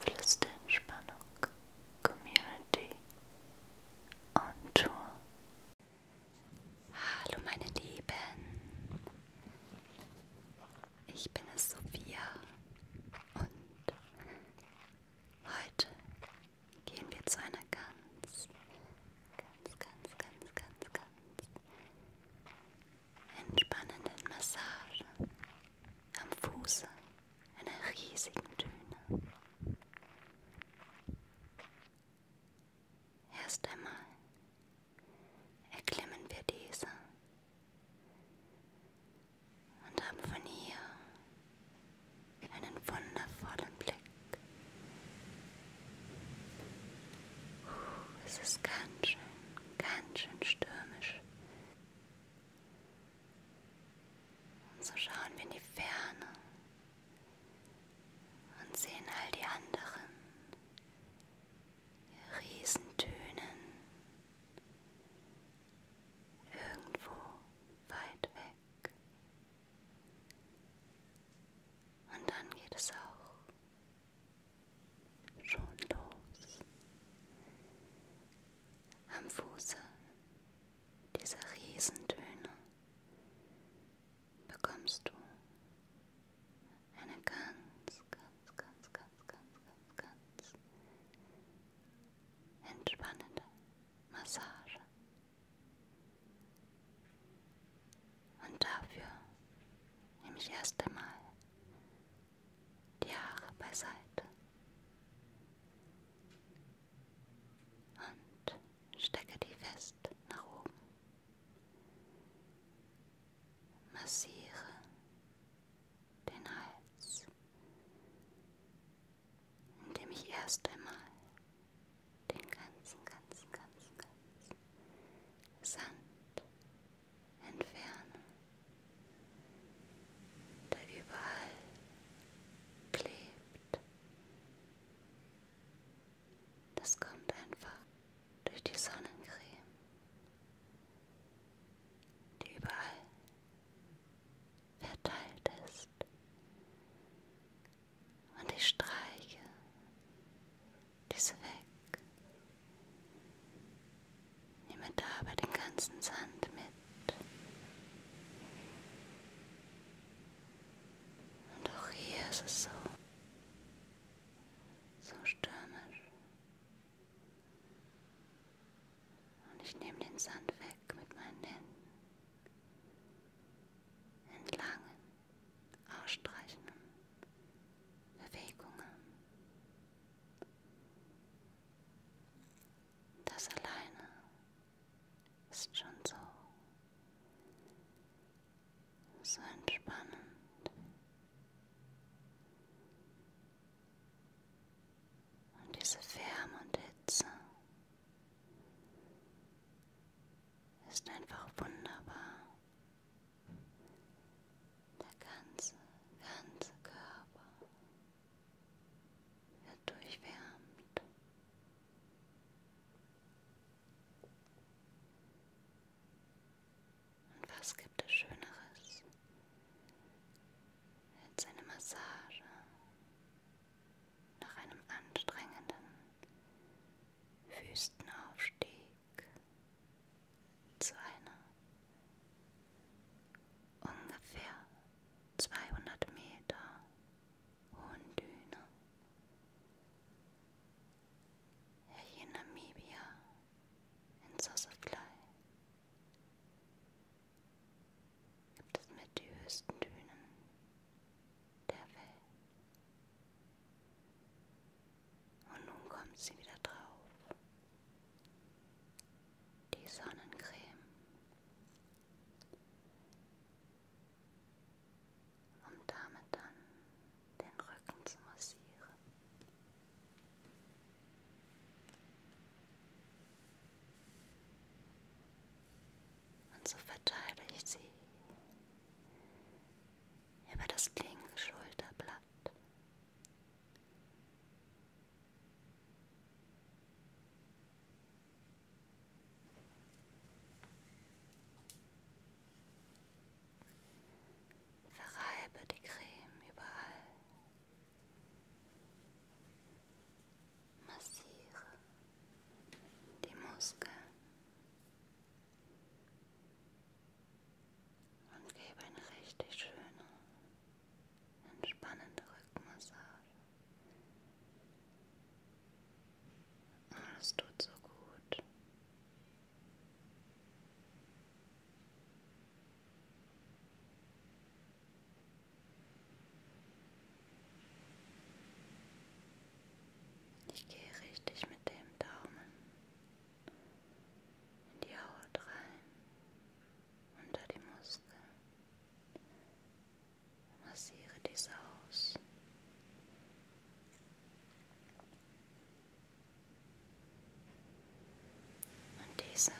Flüster Entspannung Community on Tour. Hallo meine Lieben, ich bin es Sophia und heute gehen wir zu einer ganz, ganz, ganz, ganz, ganz, ganz entspannenden Massage am Fuße einer riesigen Düne. Erst einmal erklimmen wir diese und haben von hier einen wundervollen Blick. Es ist ganz schön, ganz schön stürmisch. Und so schauen wir in die Ferne und sehen all die anderen Riesentönen irgendwo weit weg. Und dann geht es auch schon los. Am Fuße dieser Riesentöne bekommst du eine ganz, ganz, ganz, ganz, ganz, ganz, ganz entspannende Massage. Und dafür nehme ich erst einmal die Haare beiseite und stecke die fest nach oben. Massiere den Hals, indem ich erst einmal den ganzen, ganzen, ganzen, ganzen Sand entfernen, da überall klebt. Das kommt einfach durch die Sonnencreme, die überall verteilt ist. Und ich streiche diese weg. Nehme dabei den ganzen Sand mit. Und auch hier ist es so, so stürmisch. Und ich nehme den Sand weg mit meinen Händen. Entlang ausstreichenden Bewegungen. Das alleine ist schon so, so entspannend. Und diese Wärme und Hitze ist einfach wunderbar. Der ganze, ganze Körper wird durchwärmt. Und was gibt es Schöneres als eine Massage nach einem anstrengenden Wüstenaufstieg? zu einer ungefähr 200 Meter hohen Düne. Hier in Namibia, in Sosaflei, gibt es mit die höchsten Dünen der Welt. Und nun kommt sie wieder drauf. Die Sonnencreme. Um damit dann den Rücken zu massieren. Und so verteile ich sie über das linke Schulterblatt Verreibe die Creme überall. Massiere die Muskeln und gebe eine richtig schöne, entspannende Rückmassage. Alles tut so gut. Ich gehe richtig mit dem Daumen in die Haut rein, unter die Muskeln. Massiere diese aus. Und diese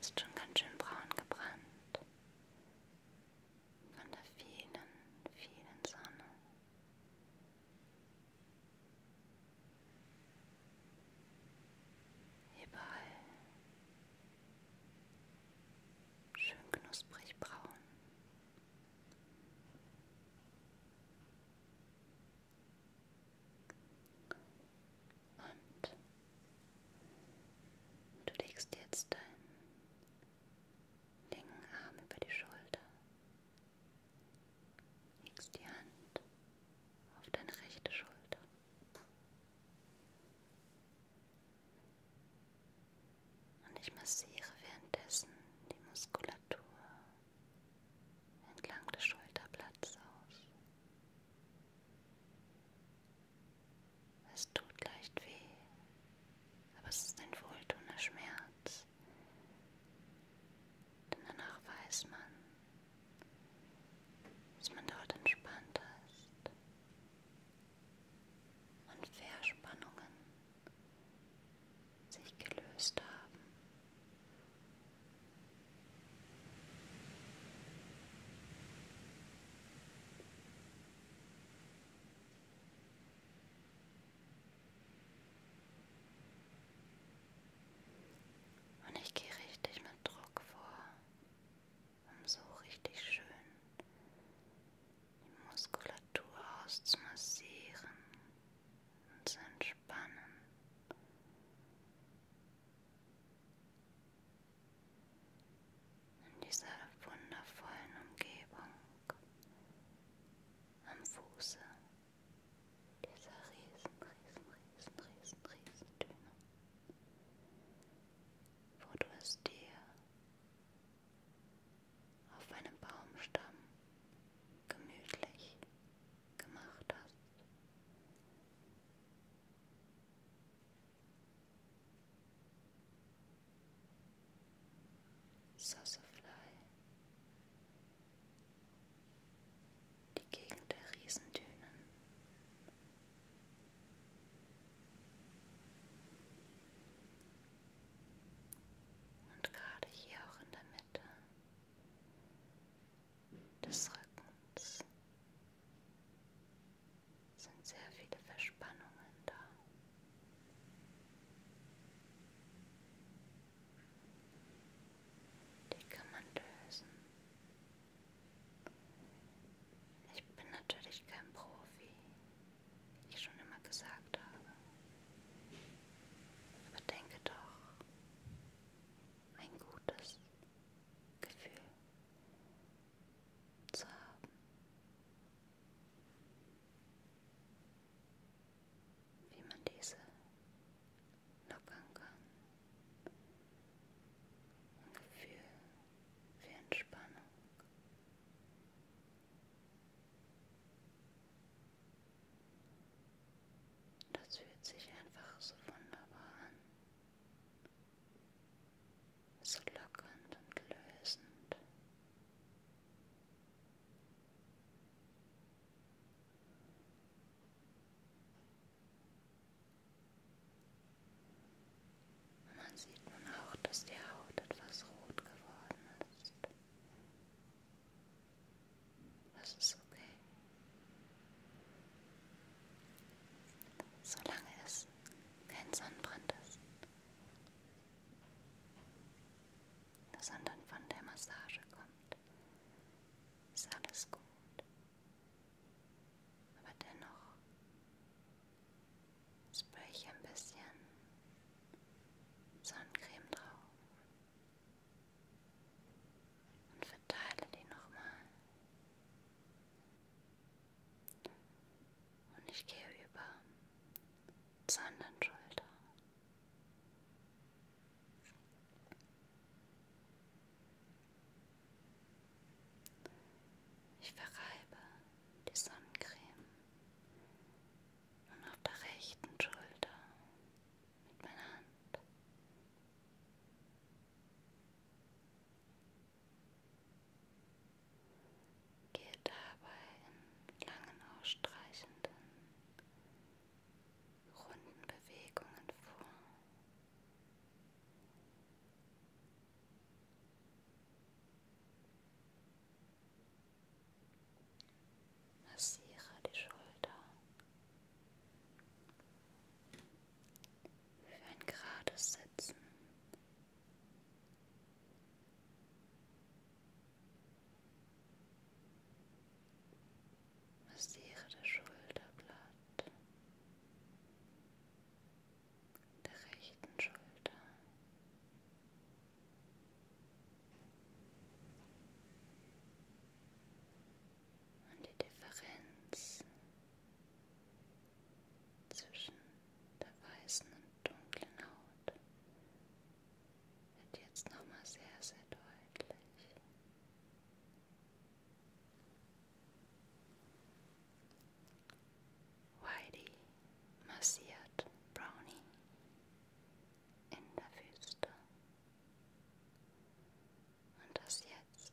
ist schon ganz schön braun gebrannt von der vielen, vielen Sonne. Überall schön knusprig braun. Und du legst jetzt deinen linken Arm über die Schulter. Legst die Hand auf deine rechte Schulter. Und ich massiere währenddessen die Muskulatur entlang des Schulterblatts aus. Es tut leicht weh, aber es ist ein wohltuender Schmerz, denn danach weiß man, dass man dort entspannt ist und Verspannungen sich gelöst haben. Und und ich gehe richtig mit Druck vor, um so richtig schön die Muskulatur auszumassieren und zu entspannen. In dieser wundervollen Umgebung am Fuße dieser riesen, riesen, riesen, riesen, riesen Düne, wo du es dir auf einem Baumstamm gemütlich gemacht hast. Sassafly, die Gegend der Riesendünen. Und gerade hier auch in der Mitte des Rückens sind sehr viele Verspannungen da. Die kann man lösen. Ich bin natürlich kein Profi, wie ich schon immer gesagt habe. Aber denke doch, ein gutes Gefühl zu haben wie man diese lockern kann. Ein Gefühl für Entspannung. Das fühlt sich einfach so wunderbar an. So lockernd und lösend. Man sieht nun auch, dass die Haut etwas rot geworden ist. Das ist okay. Solange es kein Sonnenbrand ist sondern von der Massage kommt, ist alles gut. Aber dennoch spray ich ein bisschen Sonnencreme drauf und verteile die nochmal. Und ich gehe über zur anderen Schulter. Ich verreibe die Sonnencreme nun auf der rechten Schulter mit meiner Hand. Gehe dabei in langen, ausstreichenden, runden Bewegungen vor. Massiere die Schulter für ein gerades Sitzen Massiere das Schulterblatt der rechten Schulter. Und die Differenz zwischen der weißen und dunklen Haut wird jetzt nochmal sehr, sehr deutlich. Whitey massiert Brownie in der Wüste. Und das jetzt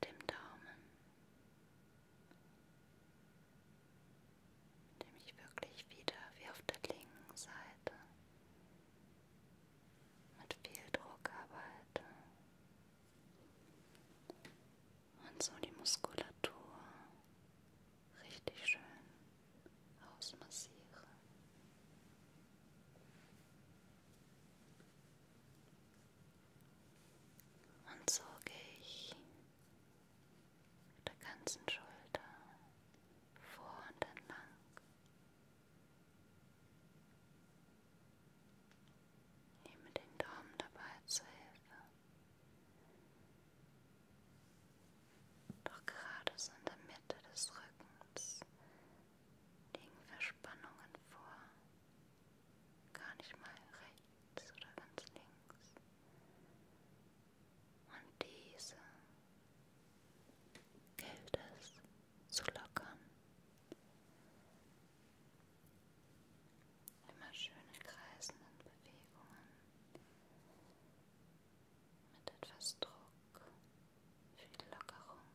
mit dem Daumen nämlich wirklich wieder wie auf der linken Seite mit viel Druck arbeite und so die Muskulatur richtig schön ausmassiere. Und so gehe ich der ganzen Schulter vor und entlang. Nehme den Daumen dabei zur Hilfe. Doch gerade so in der Mitte des Rückens liegen Verspannungen vor. Gar nicht mal rechts oder ganz links, und diese gilt es zu lockern. Immer schöne kreisenden Bewegungen mit etwas Druck für die Lockerung.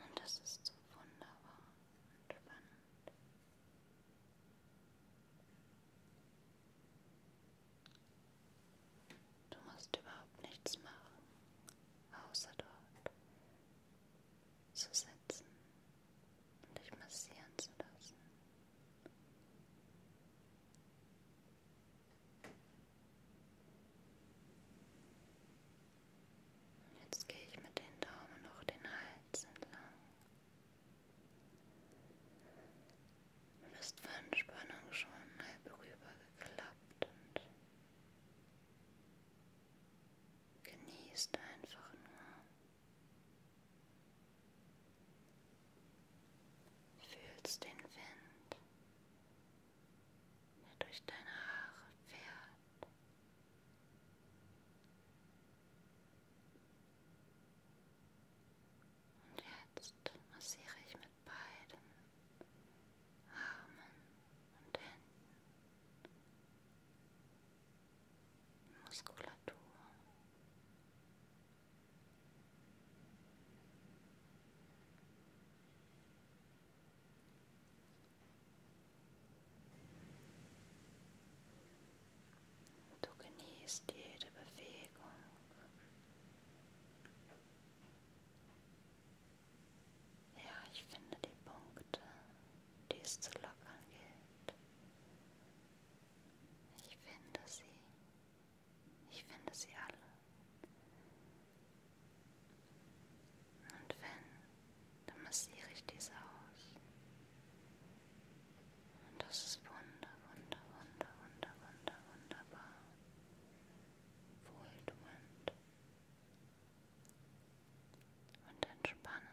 Und das ist so wunderbar und spannend. Du musst überhaupt nichts machen, außer dort zu sitzen und dich massieren zu lassen. Jetzt gehe ich mit den Daumen noch den Hals entlang. Du bist von Spannung schon halb rübergeklappt und genießt einfach nur. Fühlst den Wind, der durch deine Haare fährt. Und jetzt massiere ich mit beiden Armen und Händen die Muskulatur. Und Du genießt jede Bewegung. Ja, ich finde die Punkte, die es zu lockern gilt. Ich finde sie. Ich finde sie alle. Und wenn dann massiere ich diese aus. Und das ist wunder, wunder, wunder, wunder, wunder, wunderbar. Wohltuend. Und entspannend.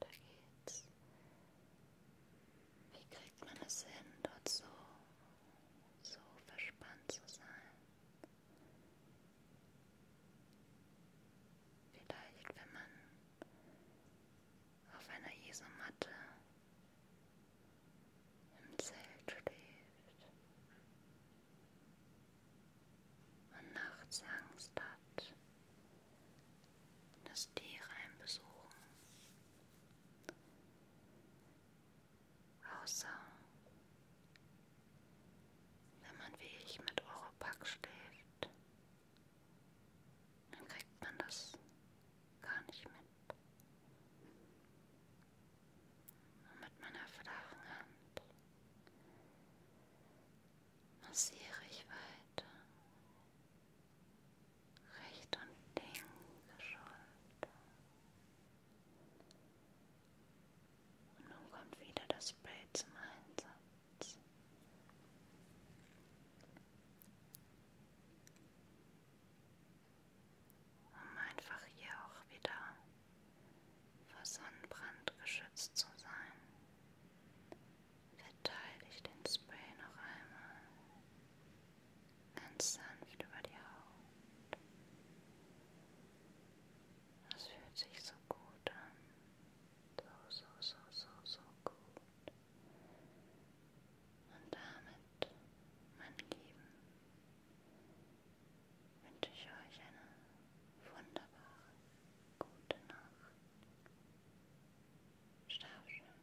Weiter geht's. Wie kriegt man es hin, dort so, so verspannt zu sein? Vielleicht, wenn man auf einer Isomatte im Zelt schläft und nachts Angst hat, dass Tiere einen besuchen. Außer wenn man wie ich mit Europax schläft dann kriegt man das gar nicht mit. Und mit meiner flachen Hand massiere ich weiter. Recht und linke Schulter. Und nun kommt wieder das Blade zum Einsatz um einfach hier auch wieder vor Sonnenbrand geschützt zu sein. Verteile ich den Spray noch einmal ganz sanft über die Haut. Das fühlt sich so gut an. So, so, so, so, so gut. Und damit, meine Lieben, wünsche ich euch eine wunderbare, gute Nacht. Schlaf schön.